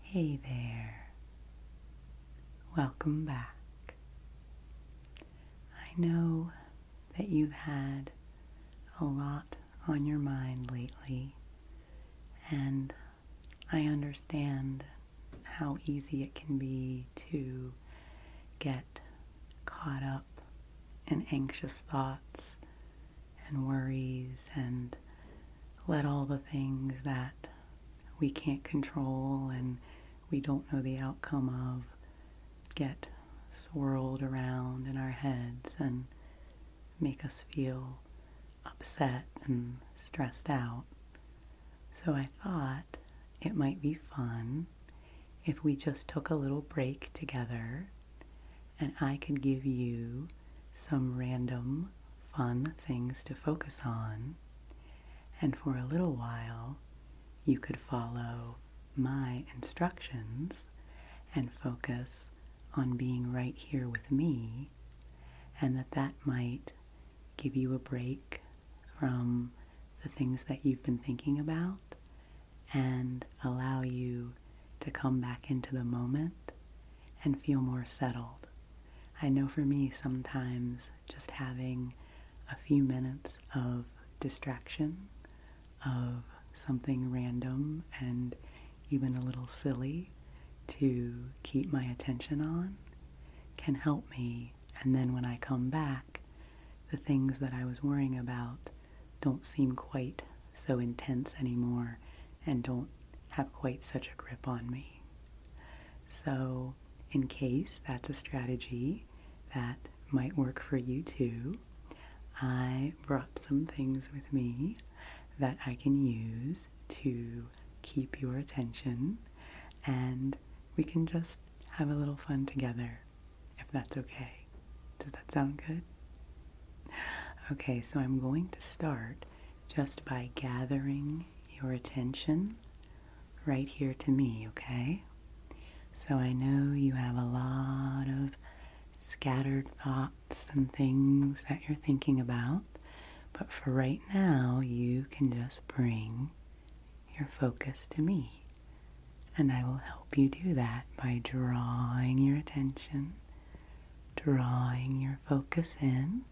Hey there. Welcome back. I know that you've had a lot on your mind lately, and I understand how easy it can be to get caught up in anxious thoughts and worries and let all the things that we can't control and we don't know the outcome of get swirled around in our heads and make us feel upset and stressed out. So I thought it might be fun if we just took a little break together and I could give you some random fun things to focus on. And for a little while, you could follow my instructions and focus on being right here with me and that that might give you a break from the things that you've been thinking about and allow you to come back into the moment and feel more settled. I know for me, sometimes just having a few minutes of distraction, of something random and even a little silly to keep my attention on can help me. And then when I come back, the things that I was worrying about don't seem quite so intense anymore and don't have quite such a grip on me. So, in case that's a strategy that might work for you too, I brought some things with me that I can use to keep your attention and we can just have a little fun together if that's okay. Does that sound good? Okay, so I'm going to start just by gathering your attention right here to me, okay? So I know you have a lot of scattered thoughts and things that you're thinking about, but for right now, you can just bring your focus to me. And I will help you do that by drawing your attention drawing your focus in,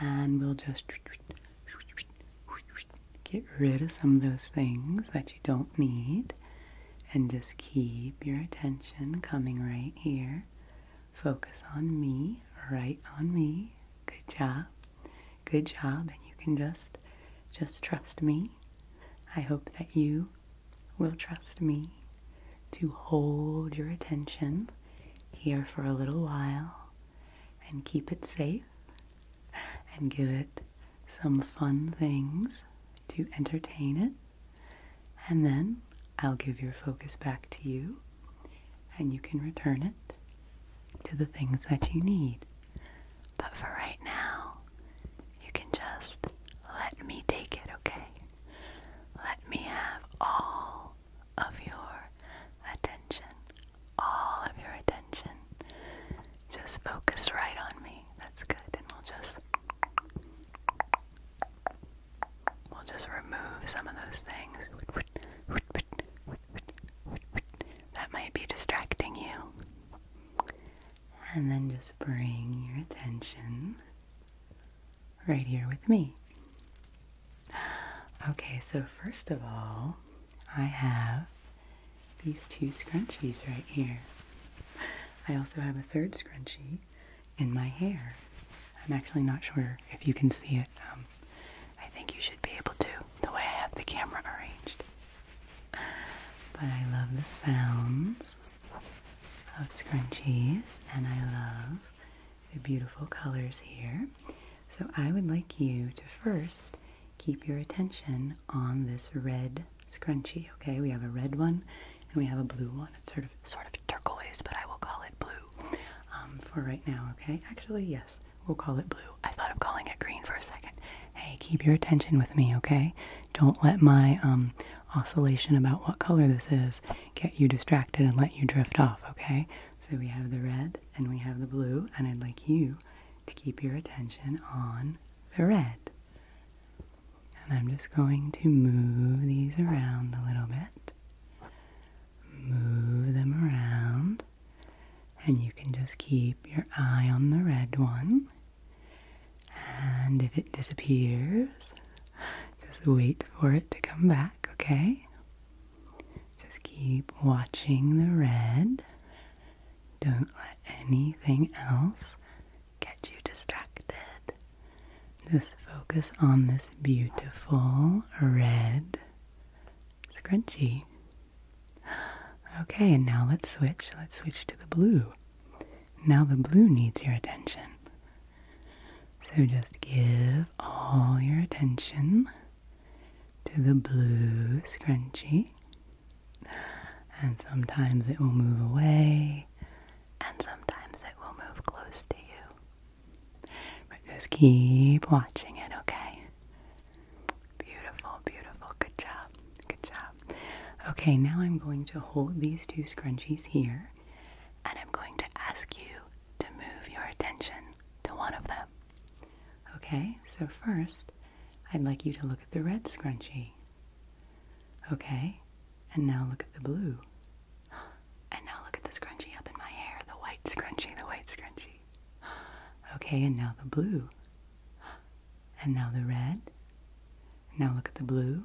and we'll just get rid of some of those things that you don't need and just keep your attention coming right here. Focus on me, right on me. Good job. Good job and you can just just trust me. I hope that you will trust me to hold your attention here for a little while and keep it safe and give it some fun things to entertain it. And then I'll give your focus back to you and you can return it to the things that you need. But for right now, you can just let me take it, okay? Let me have all of your attention. All of your attention. Just focus right on me. That's good. And we'll just we'll just remove some of those things. That might be distracting you. And then just bring your attention right here with me. Okay, so first of all, I have these two scrunchies right here. I also have a third scrunchie in my hair. I'm actually not sure if you can see it. Um, I think you should be able to, the way I have the camera arranged. But I love the sounds of scrunchies and I love the beautiful colors here. So I would like you to first keep your attention on this red scrunchie, okay? We have a red one and we have a blue one. It's sort of sort of turquoise, but I will call it blue um, for right now, okay? Actually, yes, we'll call it blue. I thought of calling it green for a second. Hey, keep your attention with me, okay? Don't let my um, oscillation about what color this is get you distracted and let you drift off, okay? So we have the red and we have the blue, and I'd like you to keep your attention on the red. And I'm just going to move these around a little bit. Move them around. And you can just keep your eye on the red one and if it disappears, just wait for it to come back, okay? Just keep watching the red. Don't let anything else get you distracted. Just focus on this beautiful red scrunchie. Okay, and now let's switch. Let's switch to the blue. Now the blue needs your attention. So just give all your attention to the blue scrunchie. And sometimes it will move away, and sometimes it will move close to you. But just keep watching it, okay? Beautiful, beautiful. Good job. Good job. Okay, now I'm going to hold these two scrunchies here and I'm going to ask you to move your attention to one of them. Okay, so first I'd like you to look at the red scrunchie. Okay, and now look at the blue. And now look at the scrunchie up in my hair, the white scrunchie, the white scrunchie. Okay, and now the blue. And now the red. Now look at the blue.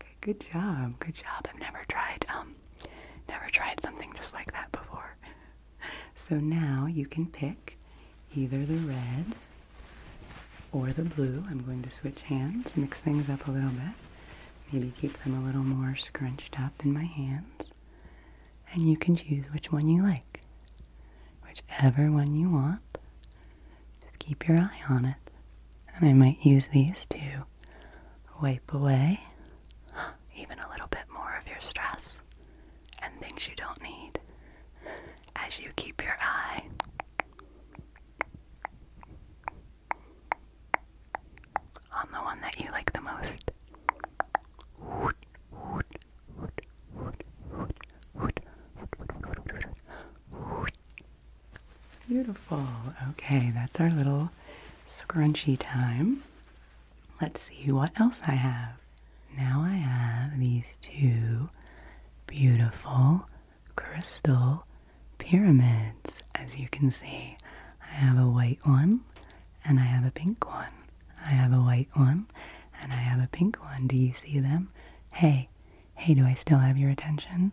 Okay, good job, good job. I've never tried, um, never tried something just like that before. So now you can pick either the red or the blue. I'm going to switch hands, mix things up a little bit. Maybe keep them a little more scrunched up in my hands. And you can choose which one you like. Whichever one you want. Just keep your eye on it. And I might use these too wipe away even a little bit more of your stress and things you don't need as you keep your eye on the one that you like the most. Beautiful. Okay, that's our little scrunchy time. Let's see what else I have. Now I have these two beautiful crystal pyramids. As you can see, I have a white one and I have a pink one. I have a white one and I have a pink one. Do you see them? Hey, Hey, do I still have your attention?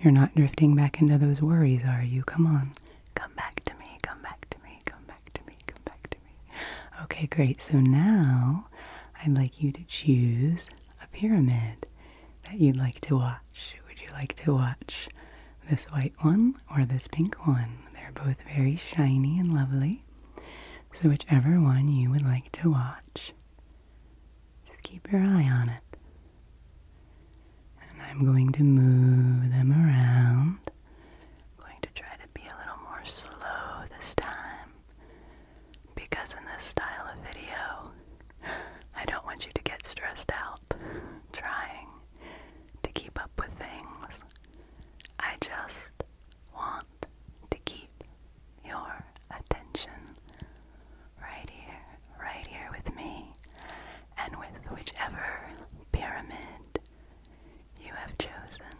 You're not drifting back into those worries, are you? Come on. Come back to me. Come back to me. Come back to me. Come back to me. Okay, great. So now I'd like you to choose a pyramid that you'd like to watch. Would you like to watch this white one or this pink one? They're both very shiny and lovely. So, whichever one you would like to watch, just keep your eye on it. And I'm going to move them around. I'm going to try to be a little more slow this time. Because in this style of video, I don't want you to get stressed out trying to keep up with things. I just want to keep your attention right here, right here with me, and with whichever pyramid you have chosen.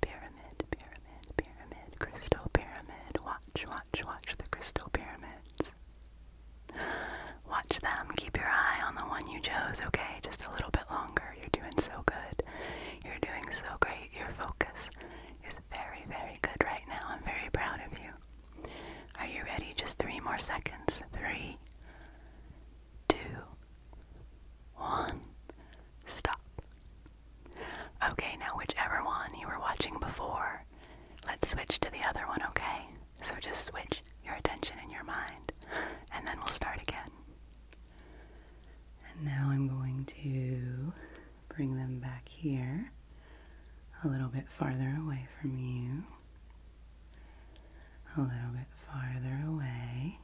Pyramid, pyramid, pyramid, crystal pyramid. Watch, watch, watch the crystal pyramids. Watch them. Keep your eye on the one you chose, okay? Just a little bit longer. You're doing so good. You're doing so great. Your focus is very, very good right now. I'm very proud of you. Are you ready? Just three more seconds. Three, two, one. Stop. Okay, now whichever one you were watching before, let's switch to the other one, okay? So just switch your attention in your mind, and then we'll start again. And now I'm going to bring them back here a little bit farther away from you, a little bit farther away,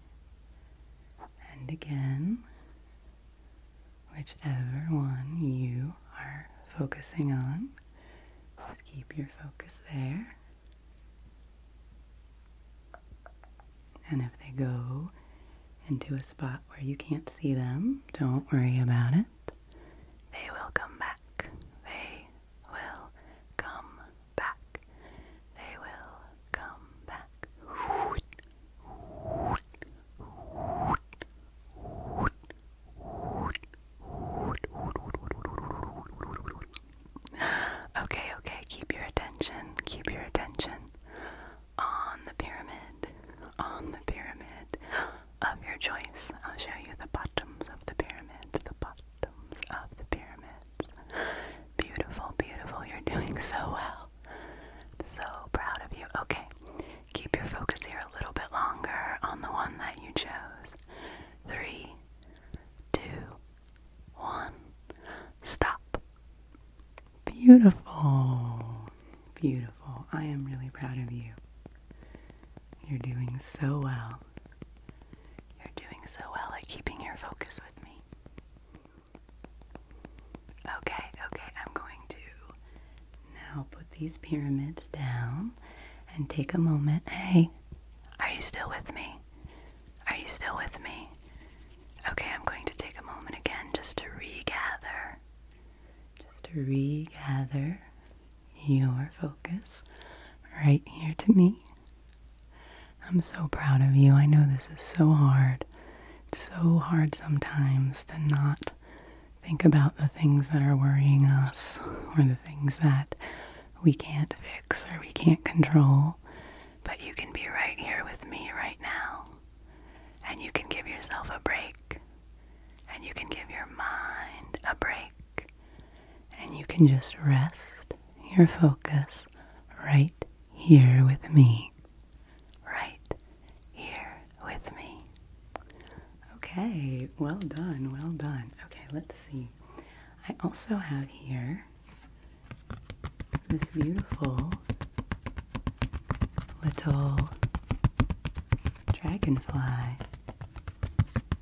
and again, whichever one you are focusing on, just keep your focus there. And if they go into a spot where you can't see them, don't worry about it. They will come back. They will come back. They will come back. Okay, okay, keep your attention. Keep your attention on the pyramid, on the pyramid of your choice. I'll show you the bottoms of the pyramid, the bottoms of the pyramids. Beautiful, beautiful. You're doing so well. I'm so proud of you. Okay, keep your focus here a little bit longer on the one that you chose. Three, two, one. Stop. Beautiful. Beautiful. I am really proud of you. You're doing so well. You're doing so well at keeping your focus with me. Okay, okay, I'm going to now put these pyramids down and take a moment. Hey, are you still with me? Are you still with me? Okay, I'm going to take a moment again just to regather just to regather your focus right here to me. I'm so proud of you. I know this is so hard. so hard sometimes to not think about the things that are worrying us or the things that we can't fix or we can't control. But you can be right here with me right now and you can give yourself a break, and you can give your mind a break, and you can just rest your focus right here with me. Right here with me. Okay, well done, well done. Okay, let's see. I also have here this beautiful little dragonfly.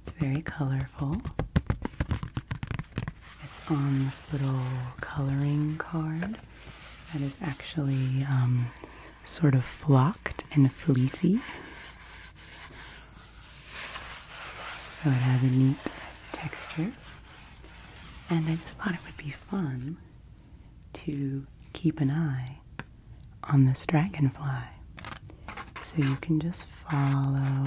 It's very colorful. It's on this little coloring card that is actually um, sort of flocked and fleecy. So it has a neat texture. And I just thought it would be fun to keep an eye on this dragonfly. So you can just follow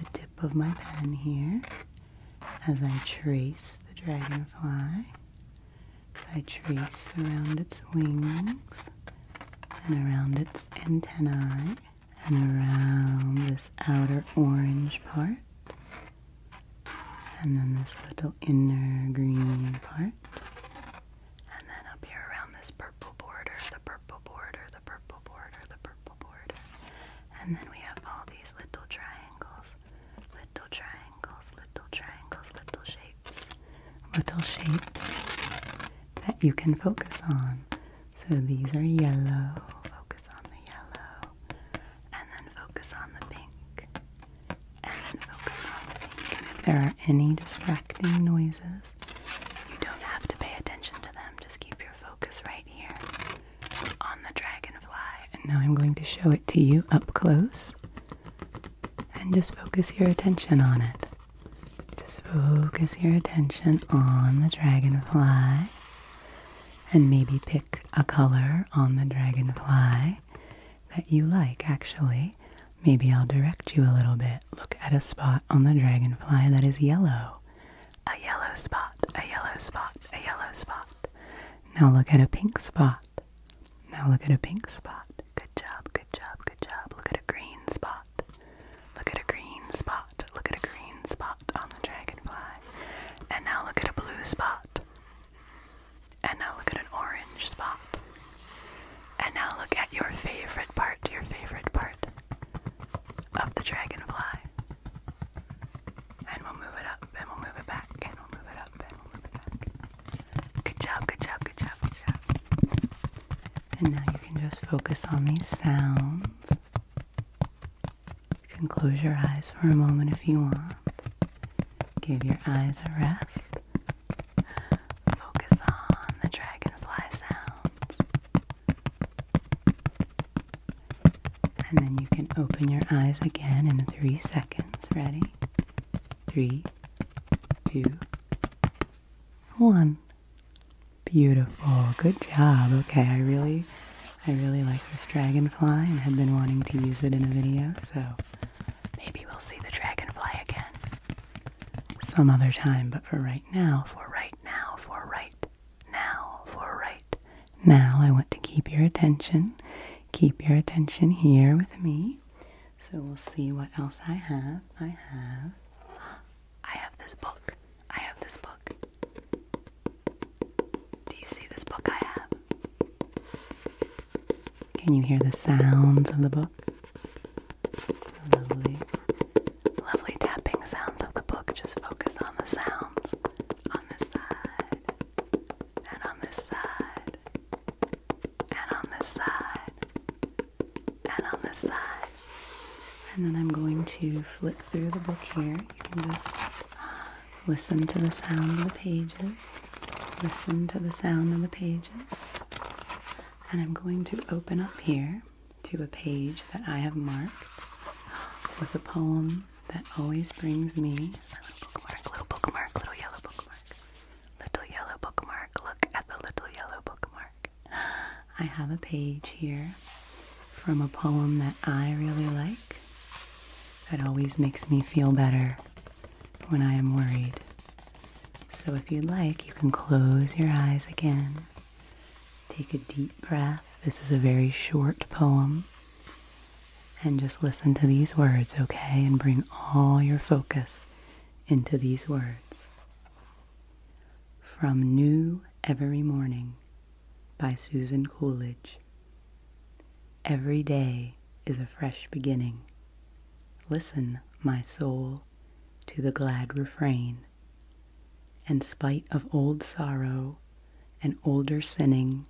the tip of my pen here as I trace the dragonfly, as I trace around its wings and around its antennae and around this outer orange part and then this little inner green part, and then up here around this purple border, the purple border, the purple border, the purple border, and then we have all these little triangles, little triangles, little triangles, little shapes, little shapes that you can focus on. So these are yellow, focus on the yellow, and then focus on the pink and focus on pink. if there are any distracting noises, you don't have to pay attention to them. Just keep your focus right here on the dragonfly. And now I'm going to show it to you up close. And just focus your attention on it. Just focus your attention on the dragonfly. And maybe pick a color on the dragonfly that you like, actually. Maybe I'll direct you a little bit. Look at a spot on the dragonfly that is yellow. A yellow spot, a yellow spot, a yellow spot. Now look at a pink spot. Now look at a pink spot. Good job, good job, good job. Look at a green spot. Look at a green spot. Look at a green spot on the dragonfly. And now look at a blue spot. And now look at an orange spot. And now look at your favorite part, your favorite part of the dragonfly. And we'll move it up, and we'll move it back, and we'll move it up, and we'll move it back. Good job, good job, good job, good job. And now you can just focus on these sounds. You can close your eyes for a moment if you want. Give your eyes a rest. Focus on the dragonfly sounds. And then you can open your eyes again in three seconds. Ready? Three, two, one. Beautiful. Good job. Okay, I really I really like this dragonfly and had been wanting to use it in a video, so Maybe we'll see the dragonfly again some other time, but for right now, for right now, for right now, for right now, I want to keep your attention. Keep your attention here with me. So we'll see what else I have. I have. I have this book. I have this book. Do you see this book I have? Can you hear the sounds of the book? lovely. Lovely tapping sounds of the book. Just focus on the sounds on this side, and on this side, and on this side, and on this side. And then I'm going to flip through the book here. You can just. Ah. Listen to the sound of the pages. Listen to the sound of the pages. And I'm going to open up here to a page that I have marked with a poem that always brings me a little bookmark, little bookmark, little yellow bookmark. Little yellow bookmark. Look at the little yellow bookmark. I have a page here from a poem that I really like that always makes me feel better when I am worried. So, if you'd like, you can close your eyes again. Take a deep breath. This is a very short poem. And just listen to these words, okay? And bring all your focus into these words. From New Every Morning by Susan Coolidge. Every day is a fresh beginning. Listen, my soul, to the glad refrain. And spite of old sorrow and older sinning,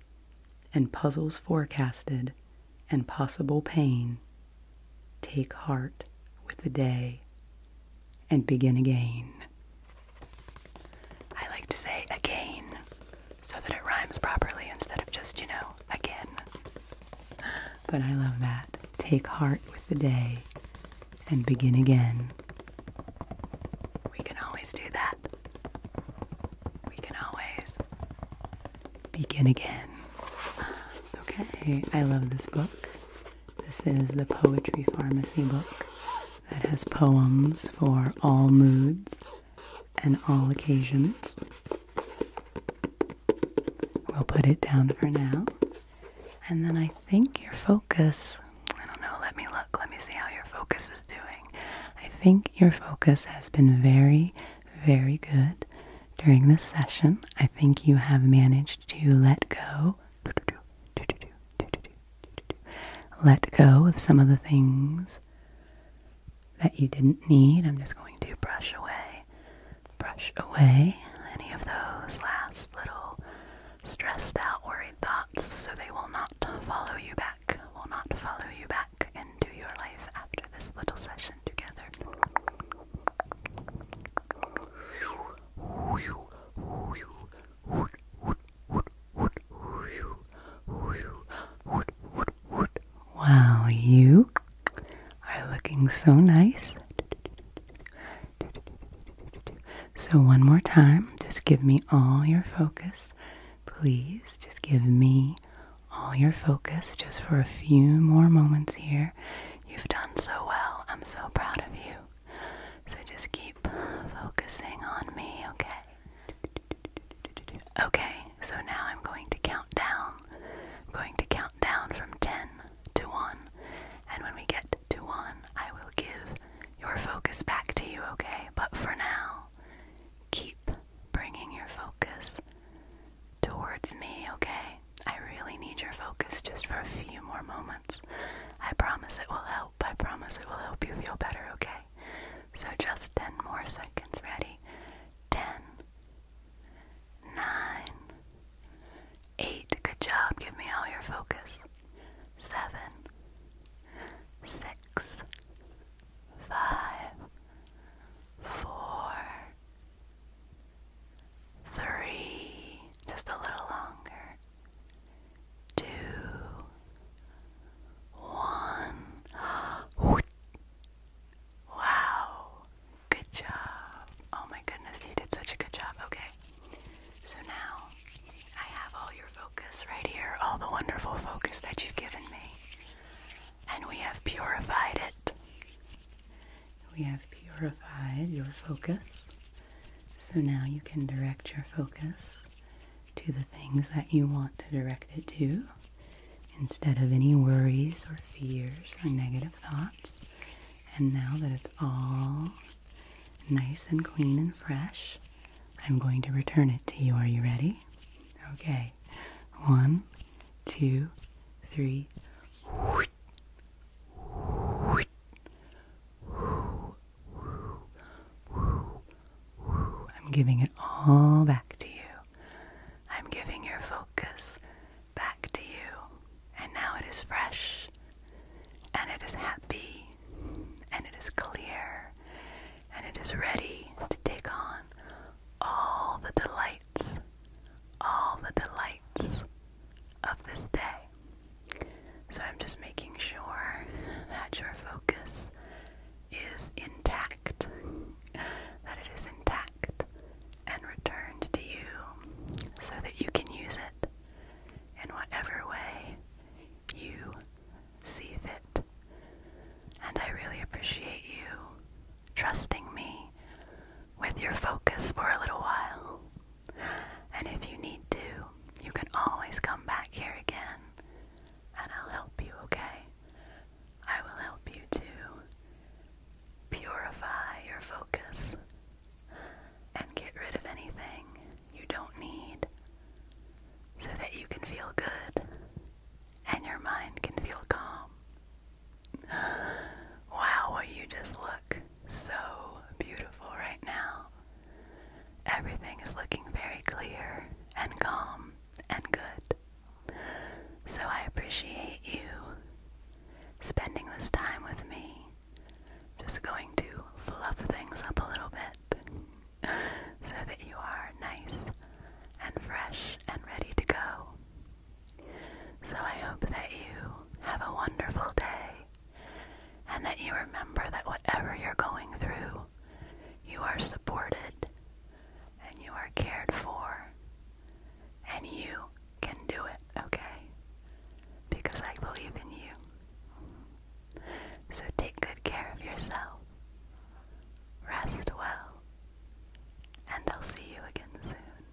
and puzzles forecasted and possible pain, take heart with the day and begin again. I like to say again so that it rhymes properly instead of just, you know, again. But I love that. Take heart with the day and begin again. We can always do that. We can always begin again. Okay, I love this book. This is the Poetry Pharmacy book that has poems for all moods and all occasions. We'll put it down for now. And then I think your focus, I don't know, let me look, let me see how your focus is doing. I think your focus has been very, very good during this session. I think you have managed to let go. Let go of some of the things that you didn't need. I'm just going to brush away, brush away any of those last little stressed out, worried thoughts so they will not follow you back, will not follow you back into your life after this little session together. Wow, you are looking so nice. So, one more time, just give me all your focus. Please, just give me all your focus just for a few more moments here. You've done so well. I'm so proud of you. So, just keep focusing on me, okay? Okay, so now I'm going to count down. I'm going to count down from 10 to 1. And when we get to 1, I will give your focus back to you, okay? But for now, keep bringing your focus towards me, okay? I really need your focus just for a few more moments. I promise it will help. I promise it will help you feel better, okay? So just 10 more seconds. Ready? 10, 9, 8. Good job. Give me all your focus. 7, 6, 5, 4, 3. Just a little longer. 2, one. Wow. Good job. Oh my goodness, you did such a good job. Okay. So now I have all your focus right here, all the wonderful focus that you've given me. And we have purified it. We have purified your focus. So now you can direct your focus to the things that you want to direct it to instead of any worries or fears or negative thoughts. And now that it's all nice and clean and fresh, I'm going to return it to you. Are you ready? Okay. One, two, three. I'm giving it all back to you. I'm giving your focus back to you. And now it is fresh, and it is happy, and it is clear, and it is ready to take on all the delights, all the delights of this day. So I'm just making sure that your focus is intact, that it is intact and returned to you so that you can use it in whatever way you see fit. And I really appreciate you trusting me with your focus for a little while. And if you need to, you can always come back here again and I'll help you, okay? I will help you too. purify your focus and get rid of anything you don't need so that you can feel good and your mind can feel calm. Wow, you just look so beautiful right now. Everything is looking very clear and calm and good. So I appreciate you spending this time with me. Just going to fluff things up a little bit so that you are nice and fresh and ready to go. So I hope that you have a wonderful day and that you remember that whatever you're going through, you are supported and you are cared for. And you can do it, okay? Because I believe in you. So take good care of yourself. Rest well. And I'll see you again soon.